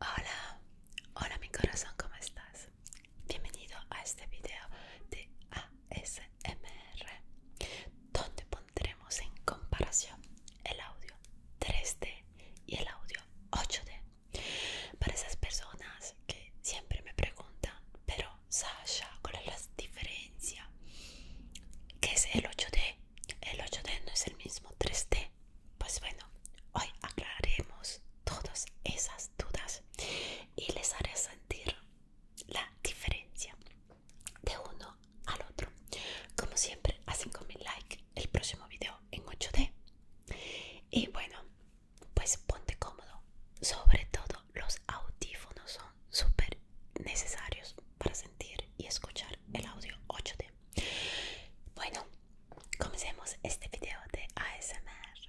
Hola, hola mi corazón, ¿cómo estás? Bienvenido a este video de ASMR, donde pondremos en comparación el audio 3D y el audio 8D. Para esas personas que siempre me preguntan, pero Sasha, ¿cuál es la diferencia? ¿Qué es el 8D? El 8D no es el mismo 3D. Pues bueno, hoy aclararemos todas esas dudas y les haré sentir la diferencia de uno al otro. Como siempre, hacen con mi like el próximo video en 8D. Y bueno, pues ponte cómodo. Sobre todo los audífonos son súper necesarios para sentir y escuchar el audio 8D. Bueno, comencemos este video de ASMR.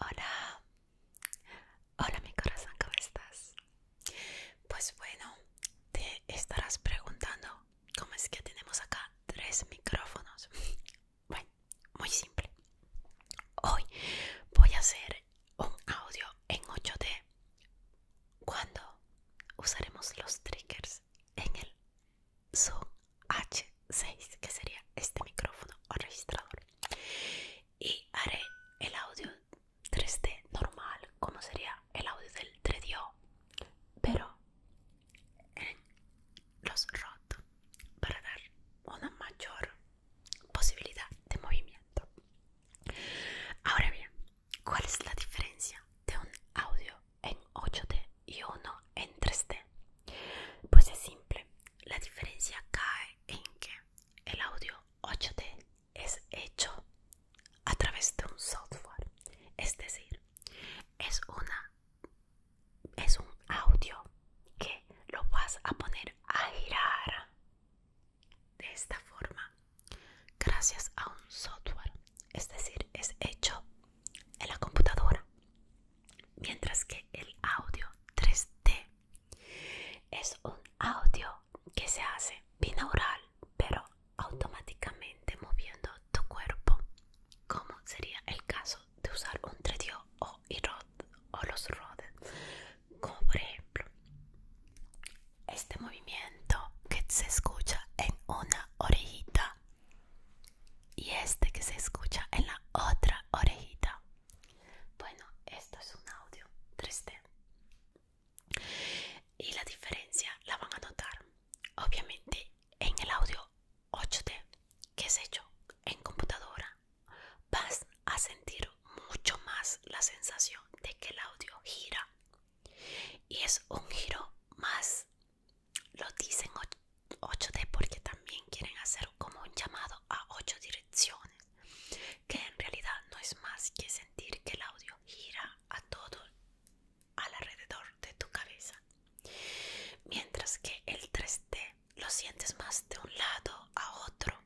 Hola, hola mi corazón, ¿cómo estás? Pues bueno, te estarás preguntando cómo es que tenemos acá tres micrófonos. Bueno, muy simple. Hoy voy a hacer un audio en 8D cuando usaremos los triggers en el Zoom H6, que sería este micrófono o registrador. Y haré el audio 3D normal, como sería el audio del 3DO, pero en los ROT para dar una mayor posibilidad de movimiento. Ahora bien, ¿cuál es la diferencia de un audio en 8D y uno en 3D? Pues es simple, la diferencia cae en que el audio 8D es hecho a través de un software, es decir, es una es un audio que lo vas a poner a girar de esta forma gracias a un software es decir es hecho en la computadora mientras que el audio 3d es un audio que se hace binaural pero automáticamente moviendo tu cuerpo, como sería el caso de usar un 3 o, o los rodes, como por ejemplo este movimiento que se escucha en una orejita y este que se escucha en la otra orejita. Bueno, esto es un audio 3D y la diferencia la van a notar. Obviamente en el audio 8D, que es hecho en computadora, vas a sentir mucho más la sensación de que el audio gira. Y es un giro más, lo dicen 8D porque también quieren hacer como un llamado a 8 direcciones, que en realidad no es más que sentir que el audio gira a todo alrededor de tu cabeza Mientras que el 3D lo sientes más de un lado a otro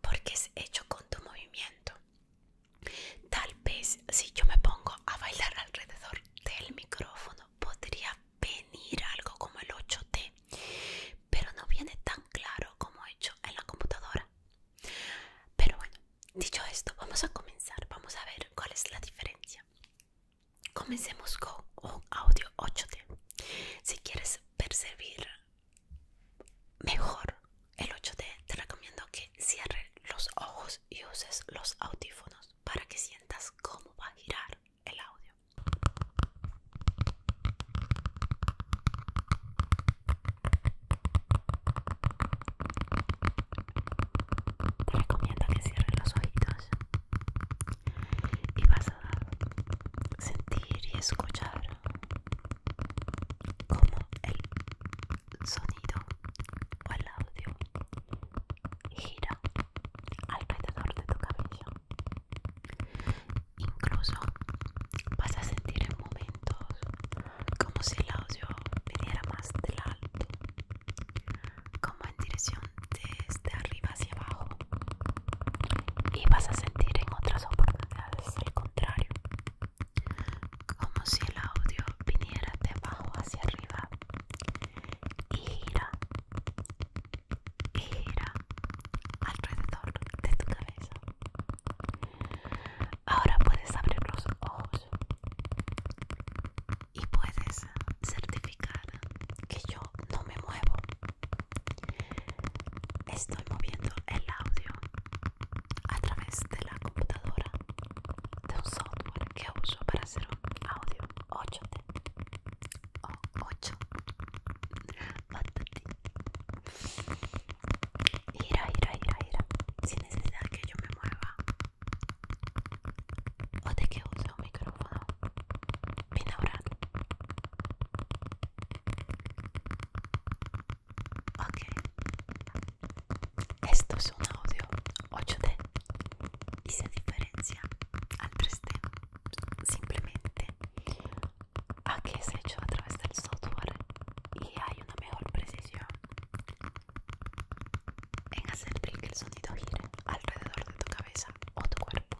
porque es hecho con tu movimiento. Tal vez si yo me pongo a bailar alrededor del micrófono podría venir algo como el 8D, pero no viene tan claro como hecho en la computadora. Pero bueno, dicho esto, vamos a comenzar, vamos a ver cuál es la diferencia. Comencemos con un audio 8D. Si quieres percibir mejor el 8D, te recomiendo que cierres los ojos y uses los audífonos para que sientas cómo va a girar el audio. Te recomiendo que cierres los ojitos y vas a sentir y escuchar cómo el sonido o el audio gira alrededor de tu cabello incluso vas a sentir en momentos como si el audio viniera más del alto como en dirección desde arriba hacia abajo y vas a sentir en otras oportunidades el contrario como si el audio viniera de abajo hacia arriba y gira y gira alrededor de tu cabeza ahora puedes abrir los ojos y puedes certificar que yo no me muevo. Estoy moviendo el audio a través de la computadora de un software que uso para hacer un audio 8 o 8 ira ira ira ira sin necesidad que yo me mueva o de que use un micrófono ahora. Ok, esto es un audio 8D y se diferencia al 3D simplemente a que es hecho a través del software y hay una mejor precisión en hacer que el sonido gire alrededor de tu cabeza o tu cuerpo.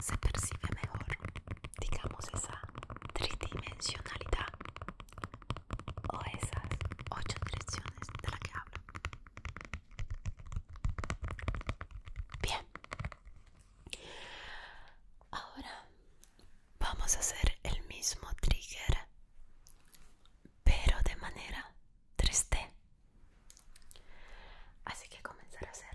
Se percibe mejor, digamos, esa tridimensionalidad o esas ocho direcciones de la que hablo. Bien, ahora vamos a hacer el mismo trigger pero de manera triste. Así que comenzar a hacerlo.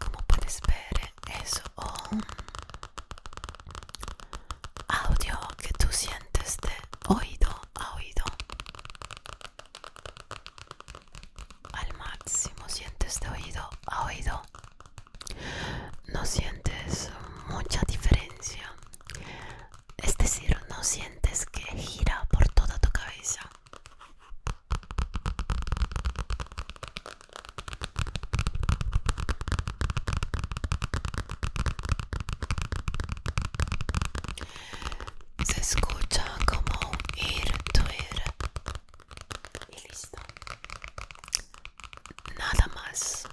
Como puedes ver, es un audio que tú sientes de oído a oído. Al máximo sientes de oído a oído. No sientes mucha diferencia es decir, no sientes que gira por toda tu cabeza. Se escucha como ir, tu ir y listo. Nada más.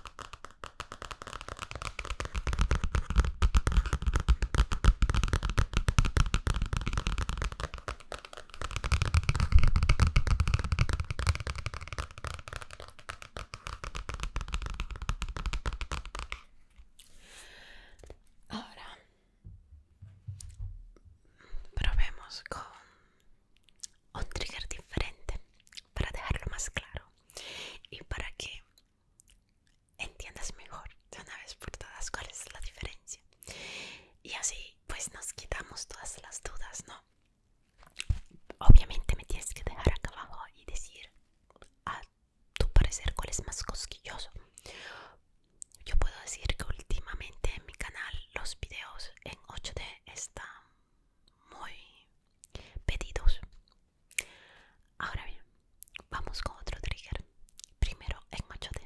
Ahora probemos con un trigger diferente para dejarlo más claro y para que entiendas mejor de una vez por todas cuál es la diferencia. Y así pues nos quitamos todas las dudas, ¿no? Obviamente me tienes que dejar acá abajo y decir a tu parecer cuál es más cosquilloso. Yo puedo decir que últimamente en mi canal los videos en 8D están muy pedidos Ahora bien, vamos con otro trigger. Primero en machote.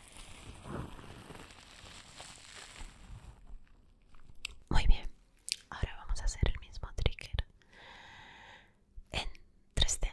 Muy bien, ahora vamos a hacer el mismo trigger en 3D.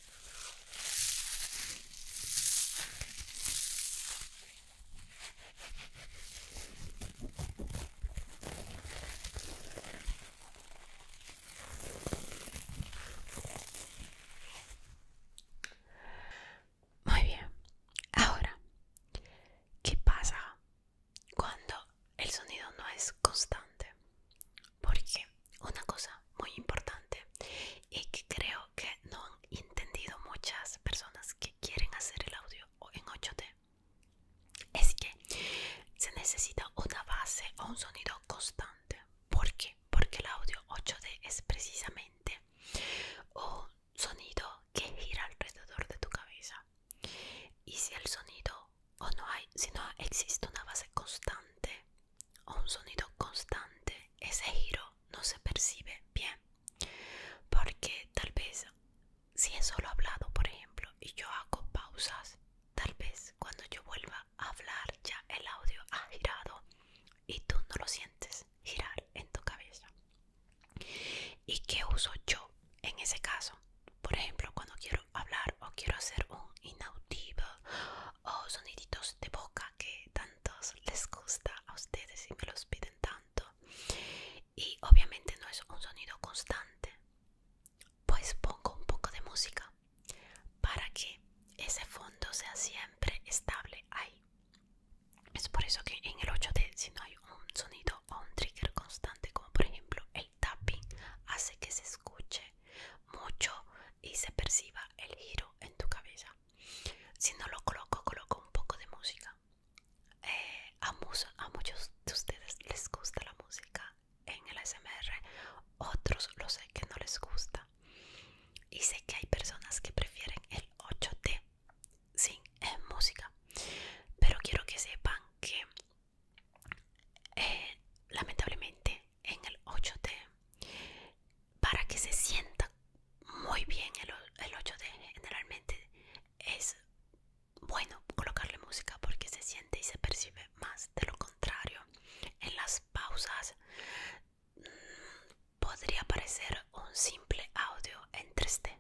Muy bien. Ahora, ¿qué pasa cuando el sonido no es constante? Porque una cosa muy importante y que creo que no han entendido muchas personas que quieren hacer el audio en 8D, es que se necesita una base o un sonido constante. ¿Por Porque el audio 8D es precisamente un sonido que gira alrededor de tu cabeza. Y si el sonido o no hay, si no existe una base constante un sonido constante, ese giro no se percibe bien. Porque tal vez si es solo hablado, por ejemplo, y yo hago pausas, tal vez cuando yo vuelva a hablar ya el audio ha girado y tú no lo sientes girar en tu cabeza. ¿Y qué uso yo en ese caso? Por ejemplo, cuando quiero hablar o quiero hacer un inaudible o soniditos de boca que tantos les gusta a ustedes y me los piden tanto y obviamente no es un sonido constante pues pongo un poco de música para que ese fondo sea siempre estable ahí es por eso que en el 8D si no hay un sonido o un trigger constante como por ejemplo el tapping hace que se escuche mucho y se perciba el giro en tu cabeza si no lo coloco, coloco un poco de música. Eh, a, a muchos de ustedes les gusta la música en el SMR, otros lo sé que no les gusta. Y sé que hay personas que prefieren el 8D sin eh, música. Pero quiero que sepan que eh, lamentablemente en el 8D para que se sienta muy bien el, 8D generalmente es bueno colocarle música porque se siente y se percibe más de lo contrario en las pausas mm, podría aparecer un simple audio en 3D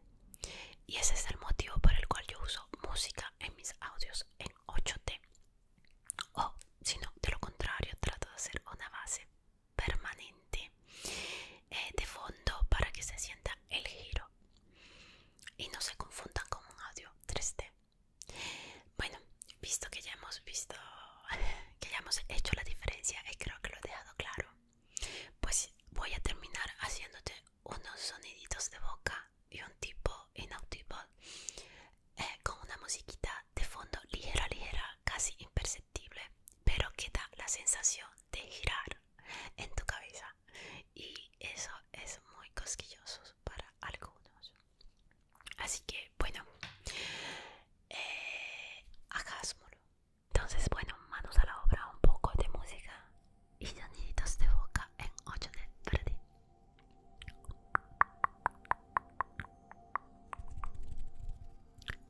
y ese es el motivo por el cual yo uso música en mis audios en 8D o si no de lo contrario trato de hacer una base permanente eh, de fondo para que se sienta el giro y no se confundan con un audio 3D. Bueno, visto que ya hemos visto que ya hemos hecho la diferencia y creo que lo he dejado claro, pues voy a terminar haciéndote unos soniditos de boca y un tipo inaudible eh, con una musiquita de fondo ligera, ligera, casi imperceptible, pero que da la sensación de girar en tu cabeza. Y eso es muy cosquilloso para algunos. Así que, bueno, eh, hagámoslo. Entonces, bueno, manos a la obra, un poco de música y soniditos de boca en 8 de para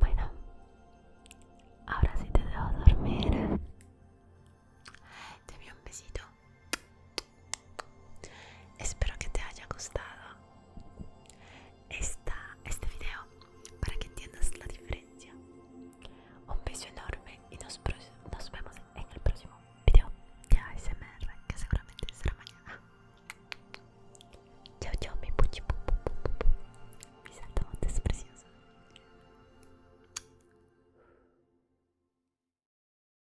Bueno, ahora sí te dejo dormir. Te vi un besito espero que te haya gustado esta, este video para que entiendas la diferencia un beso enorme y nos, vemos en el próximo video de ASMR que seguramente será mañana chao chao mi puchi Mi pu, pu, pu,